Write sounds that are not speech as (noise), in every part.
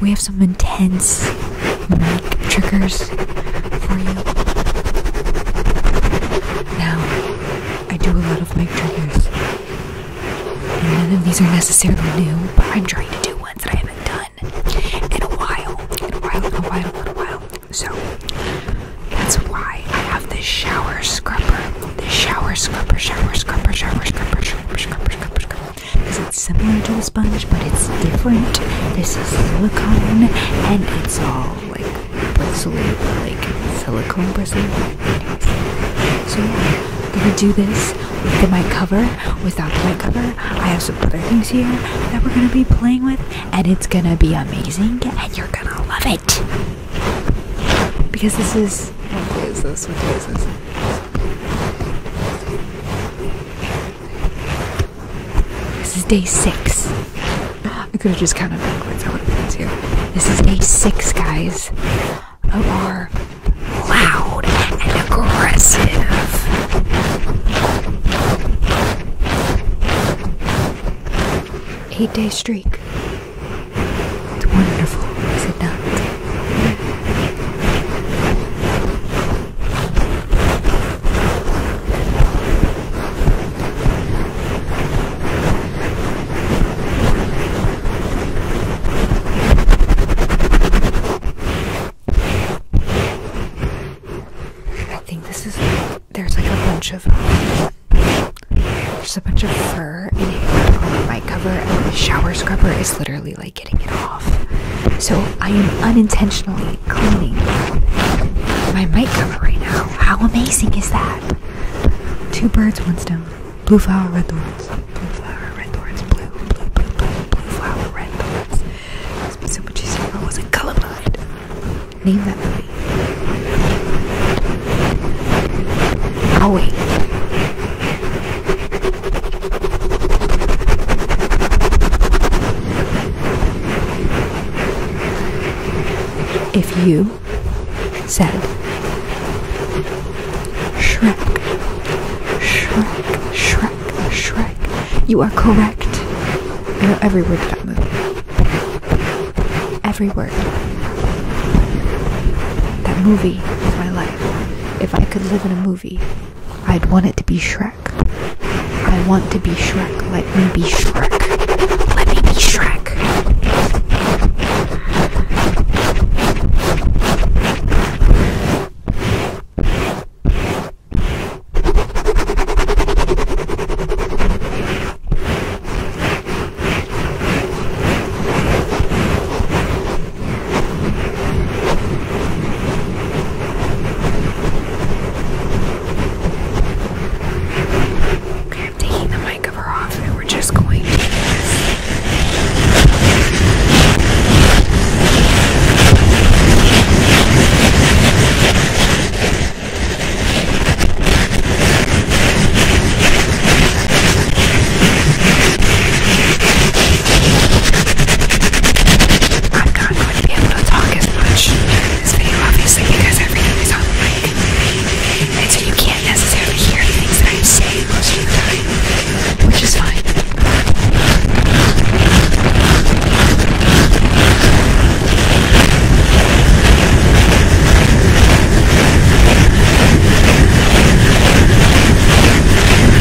we have some intense mic triggers for you. Now, I do a lot of mic triggers, none of these are necessarily new, but I'm trying to do ones that I haven't done in a while, in a while, in a while, in a while. So, that's why I have this shower scrubber, this shower scrubber, shower scrubber, shower scrubber, shower scrubber, shower scrubber, shower scrubber because it's similar to a sponge but it's different. This is silicone and it's all like bristly, like silicone bristly. So yeah, I'm gonna do this with my cover, without the my cover. I have some other things here that we're gonna be playing with, and it's gonna be amazing, and you're gonna love it. Because this is what this? What this? This is day six. I could have just counted backwards. I would have been easier. This is day six, guys, of our loud and aggressive eight-day streak. It's wonderful, is it not? I think this is there's like a bunch of there's a bunch of fur in here on the mic cover and the shower scrubber is literally getting it off. So I am unintentionally cleaning my mic cover right now. How amazing is that? Two birds, one stone. Blue flower, red thorns. Blue flower, red thorns. Blue, blue, blue, blue, blue flower, red thorns. It's been so much easier. I wasn't colorblind. Name that movie. Oh wait. If you said Shrek, Shrek, Shrek, Shrek, you are correct. I know every word of that movie. Every word. That movie is my life. If I could live in a movie, I'd want it to be Shrek. I want to be Shrek. Let me be Shrek. Let me be Shrek. Okay, I'm taking the mic cover off and we're just going to do this. I'm not going to be able to talk as much in this video, obviously, because everything is on the mic. And so you can't necessarily hear things that i say most of the time, which is fine.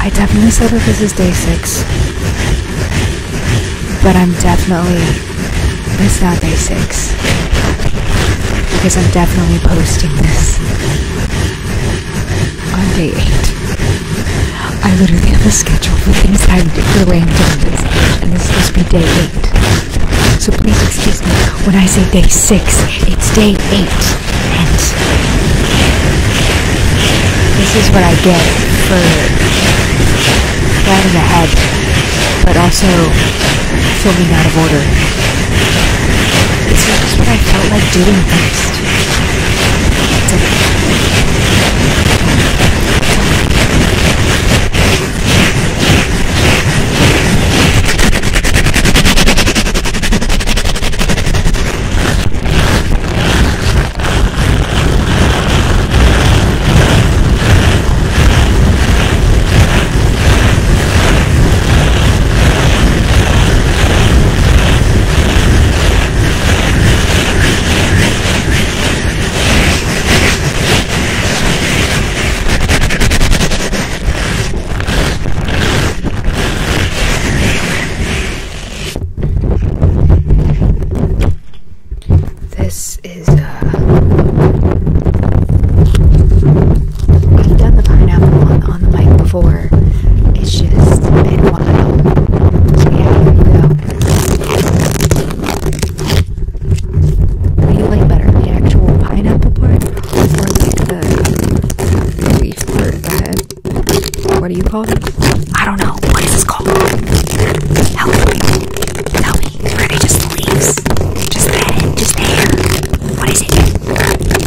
I definitely said that this is day six, but I'm definitely it's not day six because I'm definitely posting this on day eight. I literally have a schedule for things I literally am doing this, and this is supposed to be day eight. So please excuse me when I say day six. It's day eight, and this is what I get for planning ahead, but also filming out of order. It's not what I felt like doing first. This is uh, We've done the pineapple on, on the mic before. It's just been a while. So yeah, here you go. What do you like better, the actual pineapple part, or like the, leaf part, What do you call it? I don't know. What is this called? Help me. Tell me. Are just leaves? just, there, just there. What is it?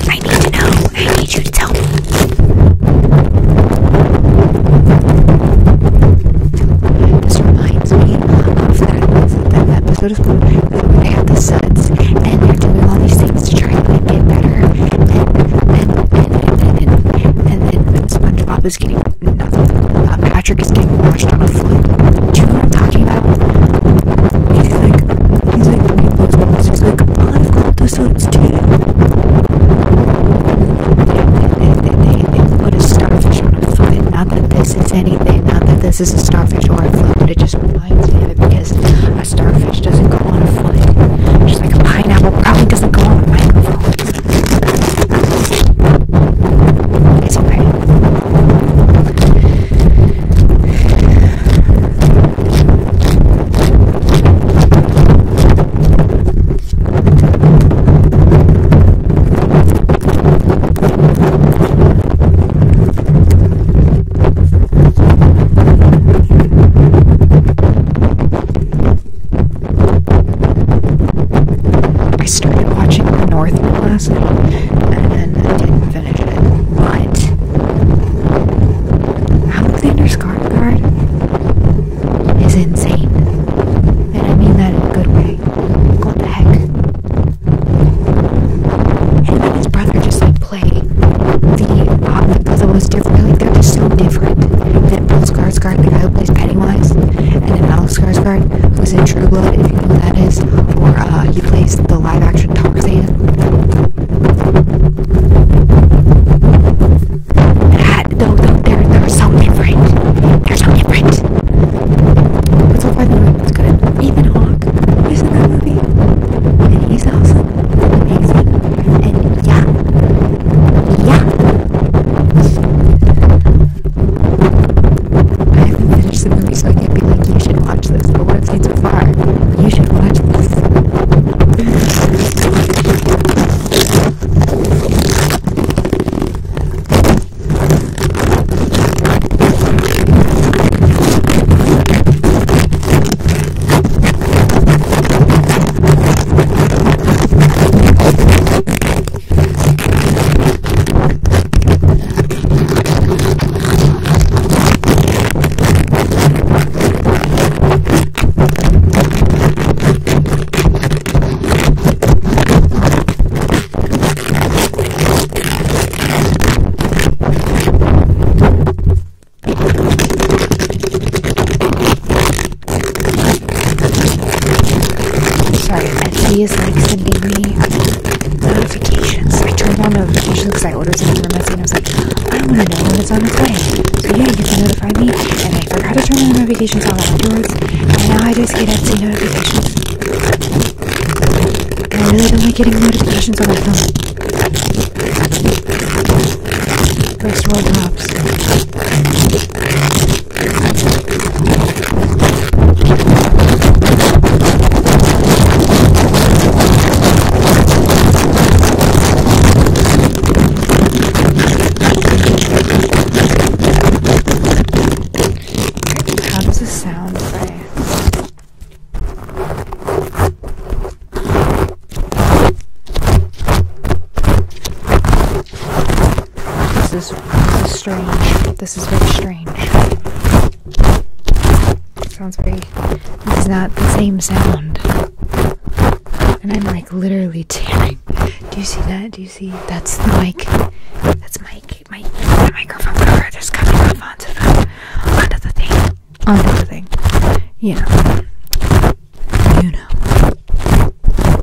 I need to know. I need you to tell me. This reminds me of that, episode where they have the sets and they're doing all these things to try and get better. And then, and then, and then, and then, SpongeBob is getting, not uh, Patrick is getting washed on a float. Do you i talking about? He's like, He's like, read those ones. He's like, I've got those ones too. starfish on a foot. Not that this is anything. Not that this is a starfish or a foot, but it just reminds me of it because a starfish doesn't go on a foot. Just like a pineapple probably doesn't go on a microphone. It's okay. I started watching The Northman last night and I didn't finish it. But Alexander Skarsgård is insane, and I mean that in a good way. What the heck? And then his brother just like played the uh, the puzzle was different. Like they're just so different. Then Bill Skarsgård, who plays Pennywise, and then Alex Skarsgård, who's in True Blood, if you know who that is, uh, he plays the live action Tarzan. Ah, no, no, they're, they're so different. They're so different. But so far, the movie's good. Ethan Hawke is in that movie. And he's awesome. yeah. Yeah. I haven't finished the movie, so I can't be like, you should watch this. But what I've seen so far, you should watch this. Sorry, Etsy is like sending me notifications. I turned on notifications because I ordered something from Etsy and I was like, I want to know when it's on its way. So yeah, you can notify me. And I forgot to turn on notifications on afterwards. yours. And now I just get Etsy notifications. And I really don't like getting notifications on my phone. First world tops. How does this sound play? This is, this is strange. This is very strange. It sounds very. This is not the same sound. And I'm like literally tearing. Do you see that? Do you see? That's the mic. That's Mike. My, my the microphone cover that's coming off onto the onto the thing. Onto the thing. You know. You know.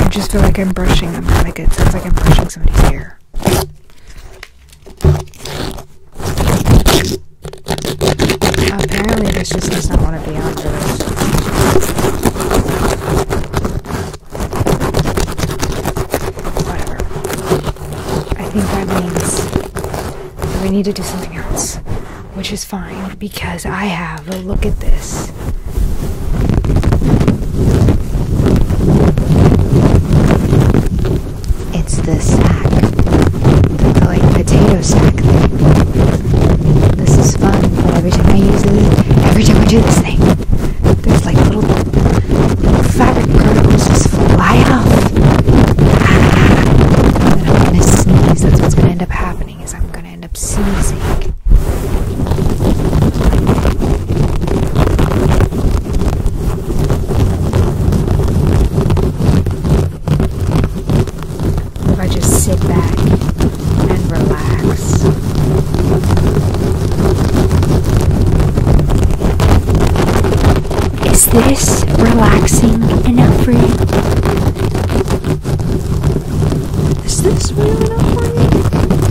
I just feel like I'm brushing them. Like it sounds like I'm brushing somebody's hair. Apparently, this just does not want to be on for Whatever. I think that means we need to do something else, which is fine because I have a look at this. It's the sack, the like potato sack thing. This is fun, every time I use it, every time I do this thing, there's like little fabric particles just fly out. I'm gonna sneeze. That's what's gonna end up happening is I'm gonna end up sneezing. If I just sit back and relax. Is this relaxing enough for you? Is this real enough for you?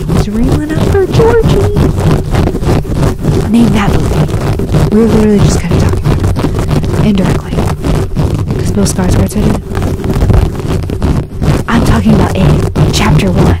It was real enough for Georgie. Name that movie. We were literally just kind of talking Indirectly. Because Bill Skarsgård said it. I'm talking about it. Chapter 1.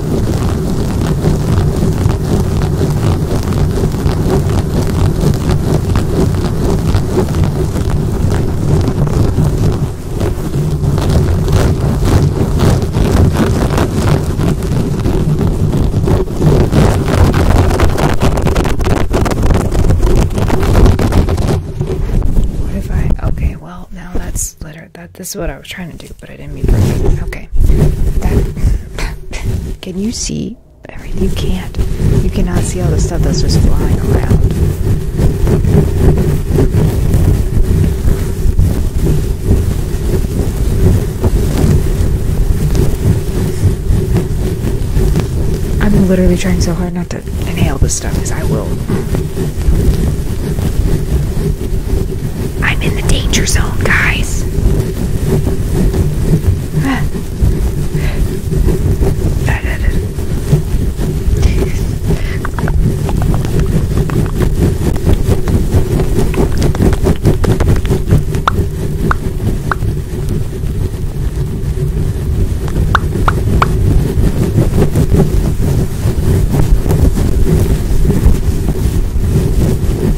What if I okay, well now that's litter that this is what I was trying to do, but I didn't mean to. Okay. (laughs) can you see You can't. You cannot see all the stuff that's just flying around. I'm literally trying so hard not to inhale this stuff because I will. I'm in the danger zone, guys.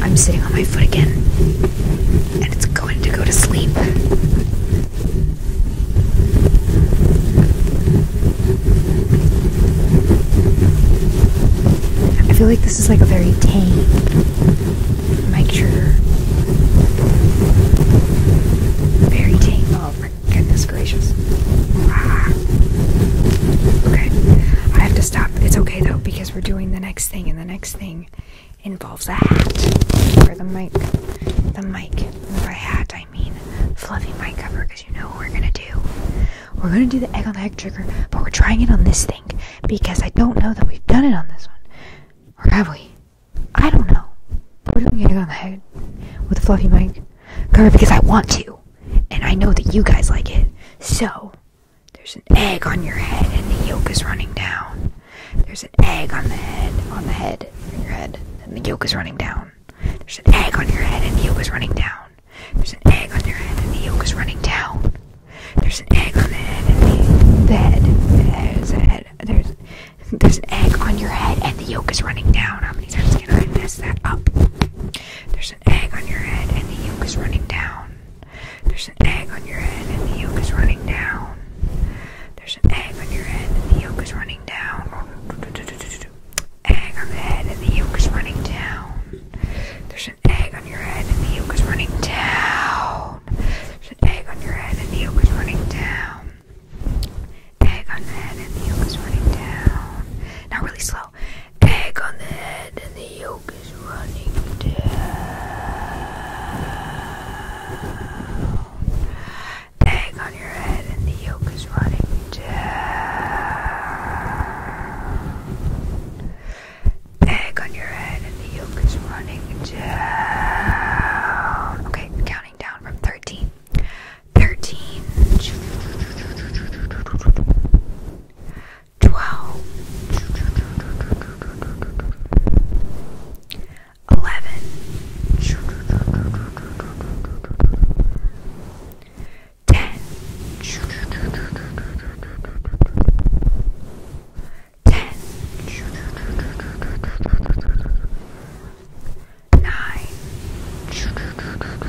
I'm sitting on my foot again and it's going to go to sleep. I feel like this is like a very tame micture. Very tame. Oh my goodness gracious. Ah. Okay. I have to stop. It's okay though because we're doing the next thing and the next thing involves a hat for the mic. The mic. by hat, I mean fluffy mic cover because you know we're going to do. We're going to do the egg on the egg trigger, but we're trying it on this thing because I don't know that we've done it on this one. Or have we? I don't know. But we're doing egg on the head with a fluffy mic cover because I want to. And I know that you guys like it. So, there's an egg on your head and the yolk is running down. There's an egg on the head, on the head, on your head, and the yolk is running down. There's an egg on your head and the yolk is running down. There's an egg on your head and the yolk is running down. There's an egg on the head and the, head. There's a head. There's, there's an egg on your head and the yolk is running down. How many times can I mess that up? There's an egg on your head and the yolk is running down. There's an egg on your head and the yolk is running down. There's an egg on your head and the yolk is running down. Egg on the head and the yolk is running down. There's an egg on your head and the yolk is running down. There's an egg on your head and the yolk is running down. Egg on the head and the yolk is running down. Now really slow. Egg on the head and the yolk Egg on your head and the yolk is running down. Egg on your head and the yolk is running down. Okay, counting down from 13. 13. 12 11 10 10 9 8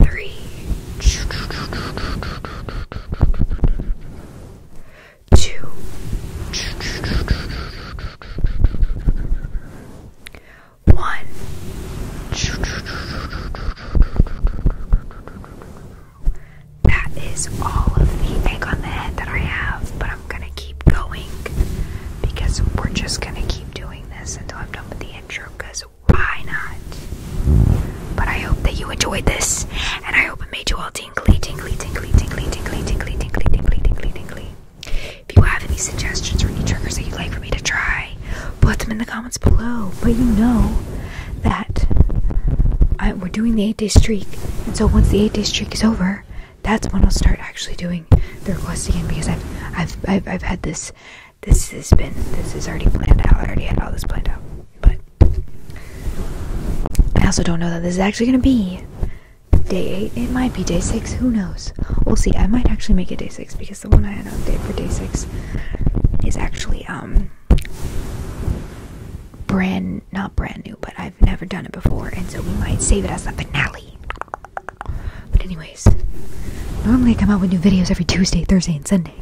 three, two, one. That is all of the egg on the head that I have, but I'm gonna keep going because we're just gonna keep doing this until I'm done with the intro because why not? But I hope that you enjoyed this, and I hope it made you all tingly, tingly, tingly, tingly, tingly, tingly, tingly, tingly, tingly, tingly. If you have any suggestions or any triggers that you'd like for me to try, put them in the comments below. But you know that uh, we're doing the eight-day streak, and so once the eight-day streak is over, that's when I'll start actually doing the requests again because I've I've, I've had this this has been, this is already planned out. I already had all this planned out. But I also don't know that this is actually going to be day 8. It might be day 6. Who knows? We'll see. I might actually make it day 6 because the one I had updated for day 6 is actually, um, brand, not brand new, but I've never done it before. And so we might save it as a finale. But anyways, normally I come out with new videos every Tuesday, Thursday, and Sunday.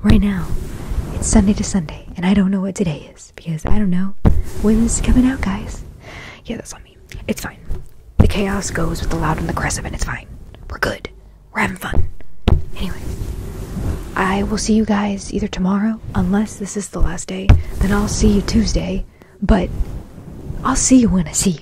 Right now, it's Sunday to Sunday, and I don't know what today is because I don't know when this is coming out, guys. Yeah, that's on me. It's fine. The chaos goes with the loud and the aggressive, and it's fine. We're good. We're having fun. Anyway, I will see you guys either tomorrow, unless this is the last day, then I'll see you Tuesday, but I'll see you when I see you.